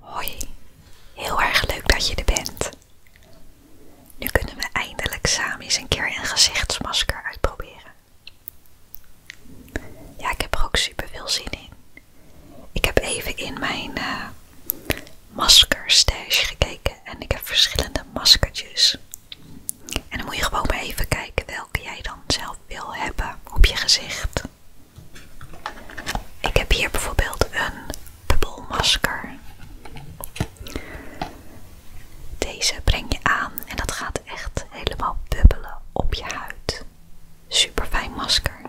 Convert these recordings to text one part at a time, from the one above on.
Hoi, heel erg leuk dat je er bent. Nu kunnen we eindelijk samen eens een keer een gezichtsmasker uitproberen. Ja, ik heb er ook super veel zin in. Ik heb even in mijn masker eh, maskerstash gekeken en ik heb verschillende maskertjes. En dan moet je gewoon maar even kijken welke jij dan zelf wil hebben op je gezicht. Ik heb hier bijvoorbeeld een bubbelmasker. Deze breng je aan en dat gaat echt helemaal bubbelen op je huid. Super fijn masker.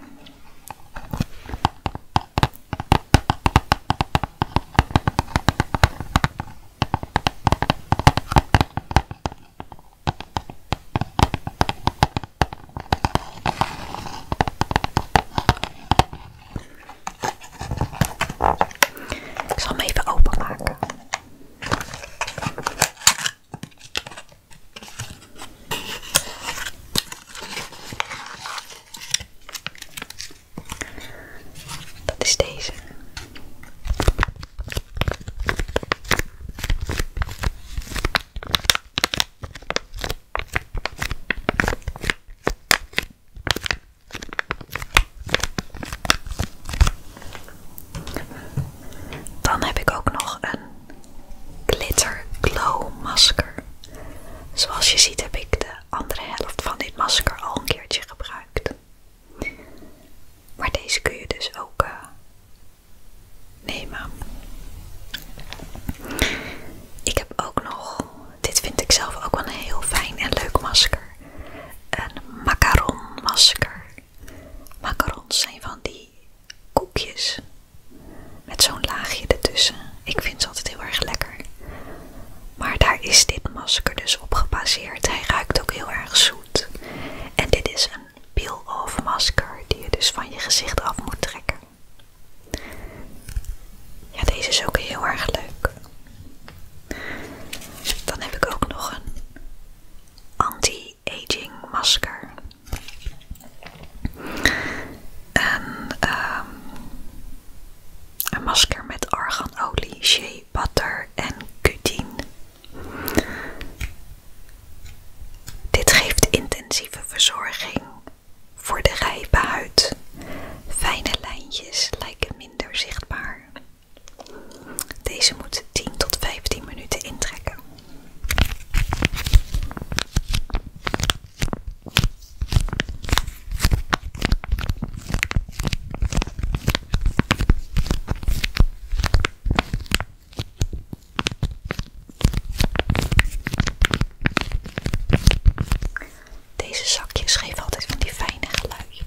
Ik zal hem even openmaken. Dat is deze. Dan heb ik ook nog een glitter glow masker. Zoals je ziet heb ik de andere helft van dit masker al een keertje gebruikt. Maar deze kun je dus ook eh, Nee, nemen. Ik heb ook nog, dit vind ik zelf ook wel een heel fijn en leuk masker. Een macaron masker. Macarons zijn van die koekjes met zo'n laagje ertussen. Ik vind ze altijd heel erg lekker. Maar daar is dit masker dus op gebaseerd. Hij ruikt ook heel erg zoet. En dit is een peel-off masker die je dus van je gezicht af moet trekken. Ja, deze is ook heel erg leuk. Dan heb ik ook nog een anti-aging masker. En, ehm, een masker met arganolie, shea butter en cutine. Dit geeft intensieve verzorging voor de rijpe huid. Fijne lijntjes lijken minder zichtbaar. Deze moet 10 tot 15 minuten intrekken. Deze zakjes geven altijd van die fijne geluidjes.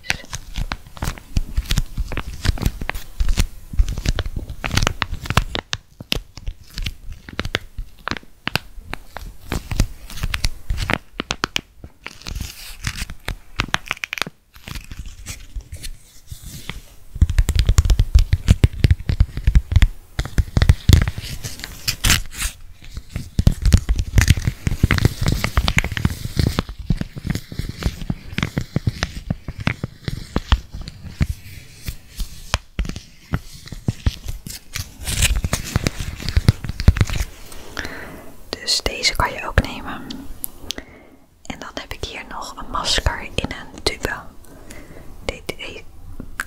Dus deze kan je ook nemen. En dan heb ik hier nog een masker in een tube. E-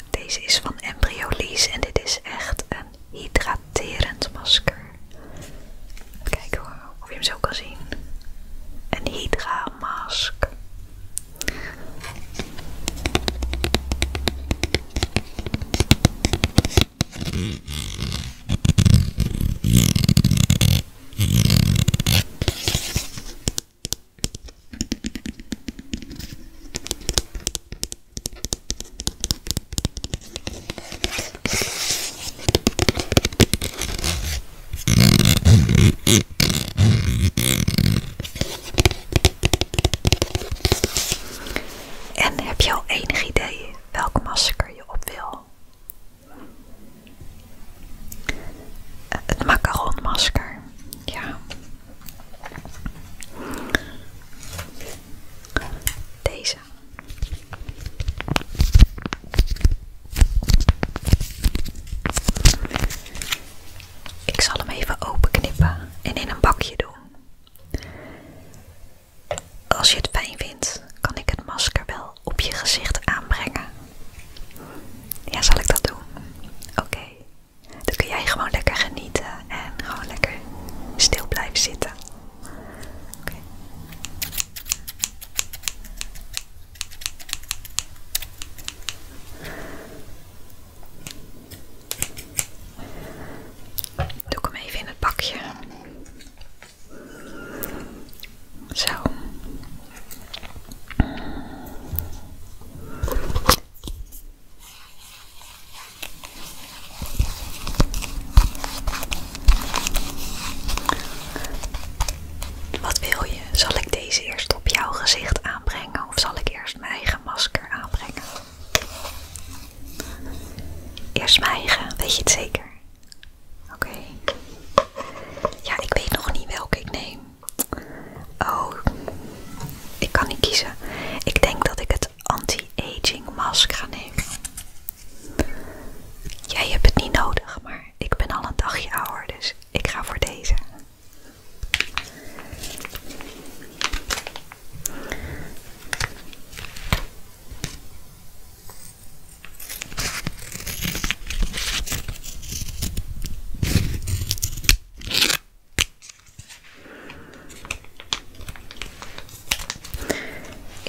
deze is van Embryolisse en dit is echt een hydraterend masker. kijk kijken hoor, of je hem zo kan zien. Een hydra mask. En heb je al enige idee welk masker je op wil? Het macaronmasker. Ja. Deze. Ik zal hem even openknippen en in een bakje doen. Als je het fijn vindt, kan ik het masker wel op je gezicht aanbrengen. Ja, zal ik dat doen? Oké. Dan kun jij gewoon lekker genieten en gewoon lekker stil blijven zitten. Oké. Doe ik hem even in het bakje. Zo. Wat wil je? Zal ik deze eerst op jouw gezicht aanbrengen of zal ik eerst mijn eigen masker aanbrengen? Eerst mijn eigen, weet je het zeker? Oké. Ja, ik weet nog niet welke ik neem. Oh, ik kan niet kiezen. Ik denk dat ik het anti-aging mask ga nemen. Jij hebt het niet nodig, maar ik ben al een dagje ouder, dus ik ga voor deze.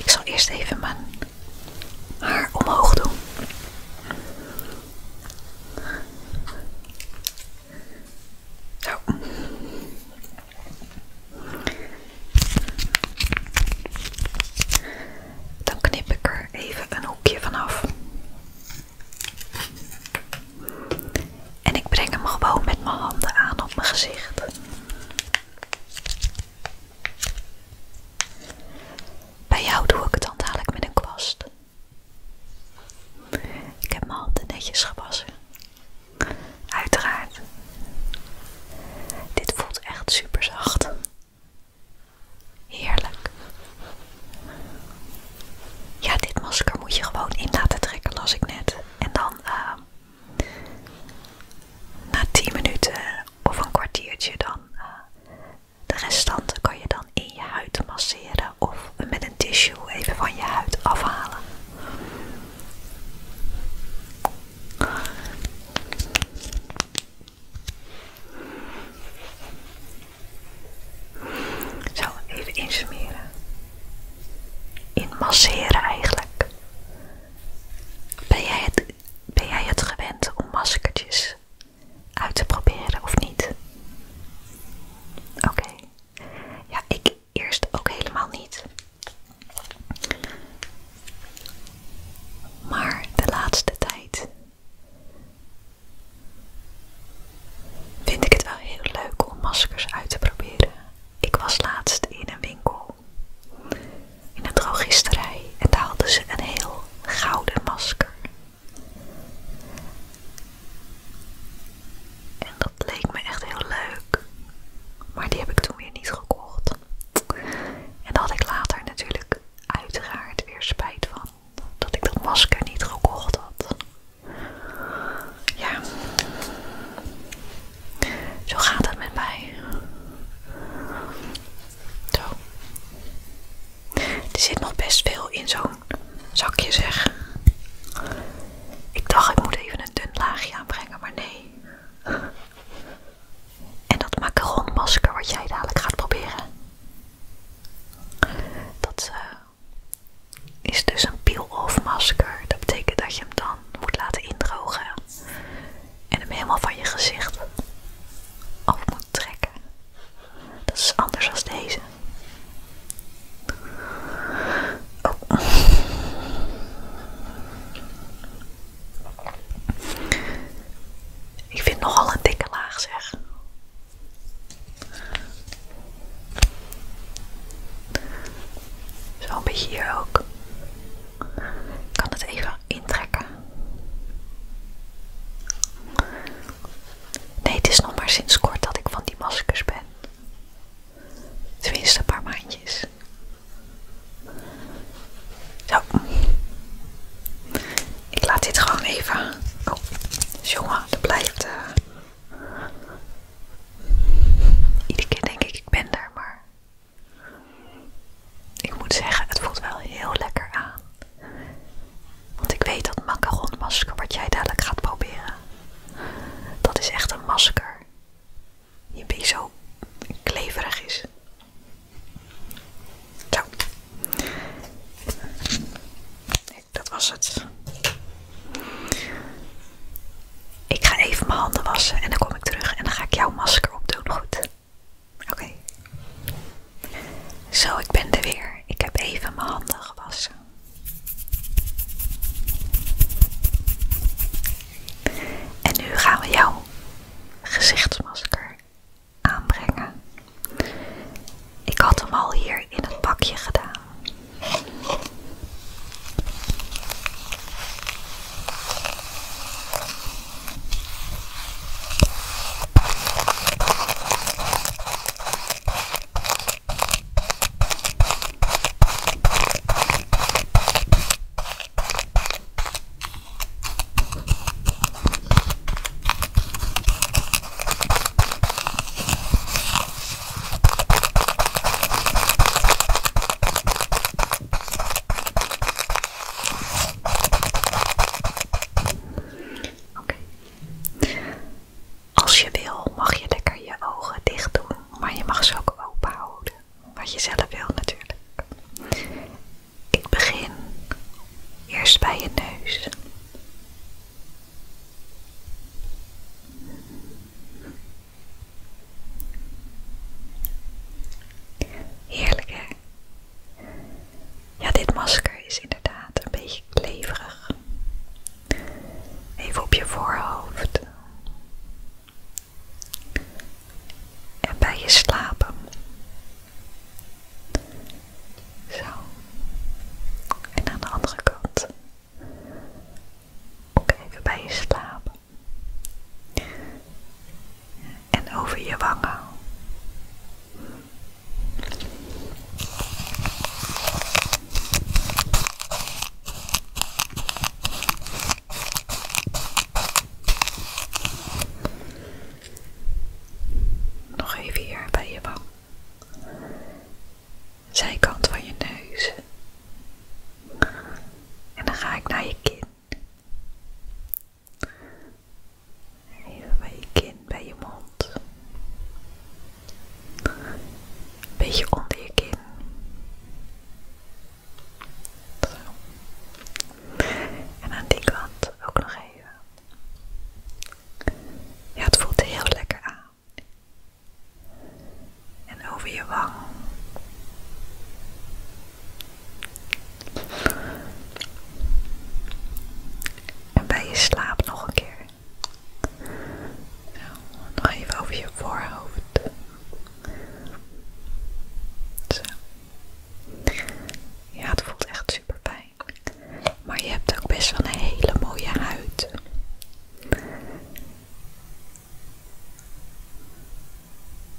Ik zal eerst even mijn haar omhoog doen. Zo. Dan knip ik er even een hoekje vanaf. En ik breng hem gewoon met mijn handen aan op mijn gezicht. Bij jou doe ik het dan dadelijk met een kwast. Ik heb mijn handen netjes gewassen. Uiteraard. Dit voelt echt super zacht. Heerlijk. Ja, dit masker moet je gewoon in laten trekken, las ik net. En dan ehm, na 10 minuten of een kwartiertje dan eh, de restanten kan je dan in je huid masseren of met een tissue even van je huid afhalen. Zo, even insmeren. Inmasseren eigenlijk. Ben jij, het, ben jij het gewend om maskertjes uit te proberen of niet? Oké. Ja, ik eerst ook helemaal niet. Maar de laatste tijd vind ik het wel heel leuk om maskers uit te proberen. Ik was laatst in een winkel, in een drogisterij, en daar hadden ze een heel gouden masker. En dat leek me echt heel leuk. Maar die heb ik toen weer niet gekocht. En daar had ik later natuurlijk uiteraard weer spijt van dat ik dat masker niet gekocht had. Ja, zo gaat het met mij. Zo. Er zit nog best veel in zo'n zakje, zeg. Ik dacht, ik moet even een dun laagje aanbrengen, maar nee. En dat macaron-masker wat jij dadelijk gaat proberen. Dat eh, is dus een peel-off masker. Dat betekent dat je hem dan moet laten indrogen. En hem helemaal van je gezicht af moet trekken. Dat is anders dan deze. Oh. Ik vind nogal een dikke laag zeg. Zo'n beetje hier ook. Ik kan het even intrekken. Nee, het is nog maar sinds kort dat ik van die maskers ben. Tenminste, een paar maandjes. Zo. Ik laat dit gewoon even. Oh, jongen, dat blijft. Eh, iedere keer denk ik, ik ben daar, maar. Ik moet zeggen, het voelt wel heel lekker aan. Want ik weet dat macaronmasker wat jij dadelijk gaat proberen, dat is echt een masker je been zo kleverig is. Zo. dat was het. Ik ga even mijn handen wassen en dan kom ik terug en dan ga ik jouw masker opdoen. Goed. Oké. Zo, ik ben er weer. Ik heb even mijn handen gewassen. En nu gaan we jouw gezichtsmasker aanbrengen. Ik had hem al hier in het pakje gedaan. Als je wil mag je lekker je ogen dicht doen, maar je mag ze ook open houden wat je zelf wil natuurlijk. Ik begin eerst bij je neus. Heerlijk hè? Ja, dit masker is inderdaad een beetje kleverig. Even op je voorhoofd en bij je slapen. Zo. En aan de andere kant. Ook even bij je slapen. En over je wangen. Nog even hier bij je wang. Zijkant van je neus. En dan ga ik naar je kin. Even bij je kin, bij je mond. Beetje onder je kin. En aan die kant ook nog even. Ja, het voelt heel lekker aan. En over je wang. En bij je slaap nog een keer. Nou, nog even over je voorhoofd. Ja, het voelt echt super fijn. Maar je hebt ook best wel een hele mooie huid.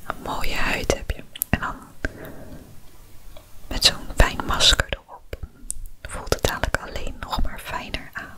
Een mooie huid heb je. En dan met zo'n fijn masker erop voelt het dadelijk alleen nog maar fijner aan.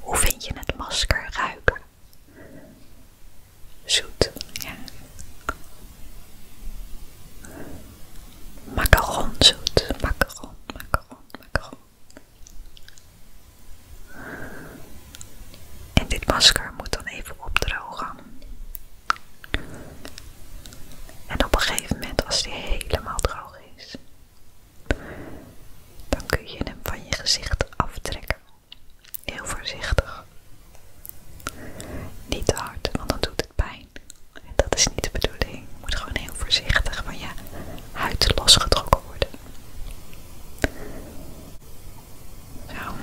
Hoe vind je het masker ruiken? Zoet, ja. Macaron zoet, macaron, macaron, macaron. En dit masker moet dan even opdrogen. En op een gegeven moment, als die helemaal droog is, dan kun je hem van je gezicht aftrekken. Heel voorzichtig. Niet te hard, want dan doet het pijn. En dat is niet de bedoeling. Je moet gewoon heel voorzichtig van je huid losgetrokken worden. Nou.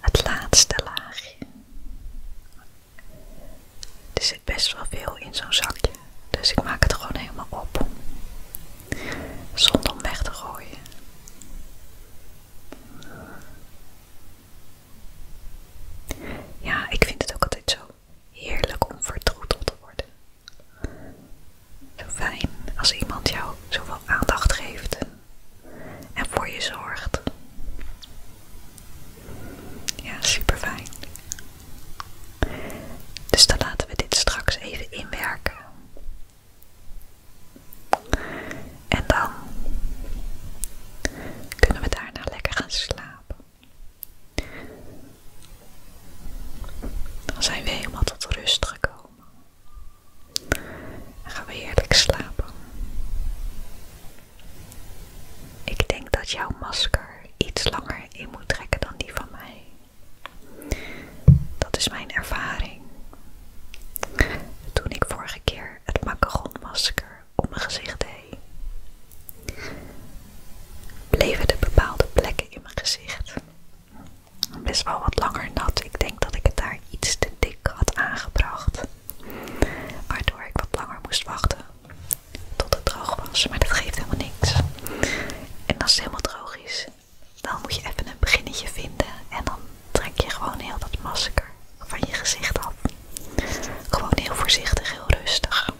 Het laatste laagje. Er zit best wel veel in zo'n zakje. Dus ik maak het gewoon helemaal op. Zonder om weg te gooien. Ja, ik vind het ook altijd zo heerlijk om vertroeteld te worden. Zo fijn als iemand jou zoveel aandacht geeft en voor je zorgt. Ja, super fijn. Dus dan laten we dit straks even inwerken. En dan kunnen we daarna lekker gaan slapen. Dan zijn we helemaal tot rust gekomen. Dan gaan we heerlijk slapen. Ik denk dat jouw masker iets langer in moet trekken dan die van mij. Dat is mijn ervaring. Toen ik vorige keer het macaronmasker op mijn gezicht deed, bleven de bepaalde plekken in mijn gezicht best wel wat langer nat. Ik denk dat ik het daar iets te dik had aangebracht, waardoor ik wat langer moest wachten tot het droog was, maar dat geeft helemaal niks. En als het helemaal droog is, dan moet je even een beginnetje vinden en dan trek je gewoon heel dat masker van je gezicht af. Gewoon heel voorzichtig, heel rustig.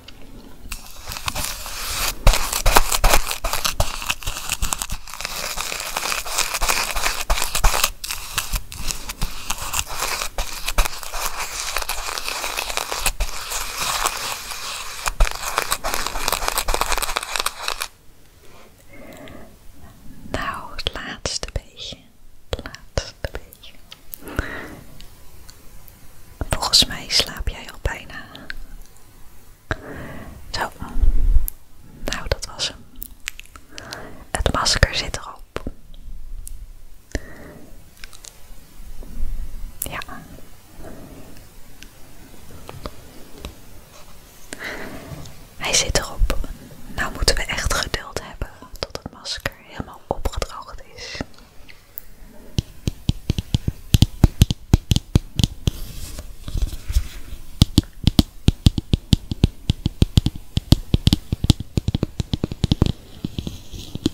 Nou, het laatste beetje. Het laatste beetje. Volgens mij slaap jij al bijna. Zo. Nou, dat was hem. Het masker zit erop. Ja. Hij zit erop. Nou moeten we echt geduld hebben tot het masker helemaal opgedroogd is.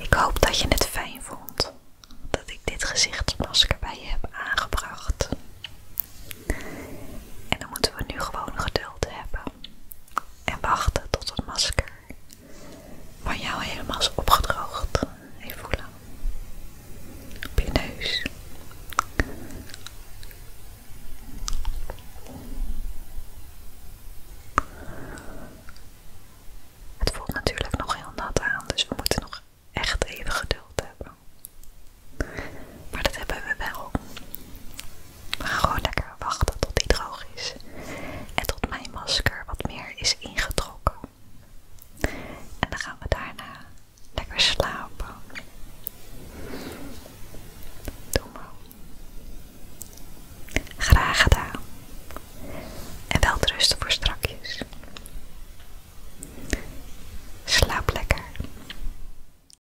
Ik hoop dat je het fijn vond dat ik dit gezichtsmasker bij je heb aangebracht. En dan moeten we nu gewoon geduld hebben en wachten tot het masker van jou helemaal is opgedroogd. Even voelen. Op je neus. Het voelt natuurlijk nog heel nat aan, dus we moeten nog echt even geduld hebben. Maar dat hebben we wel. Maar gewoon lekker wachten tot die droog is. En tot mijn masker wat meer is ingetrokken. En dan gaan we daarna lekker slapen. Doe maar. Graag gedaan. En wel rusten voor strakjes. Slaap lekker.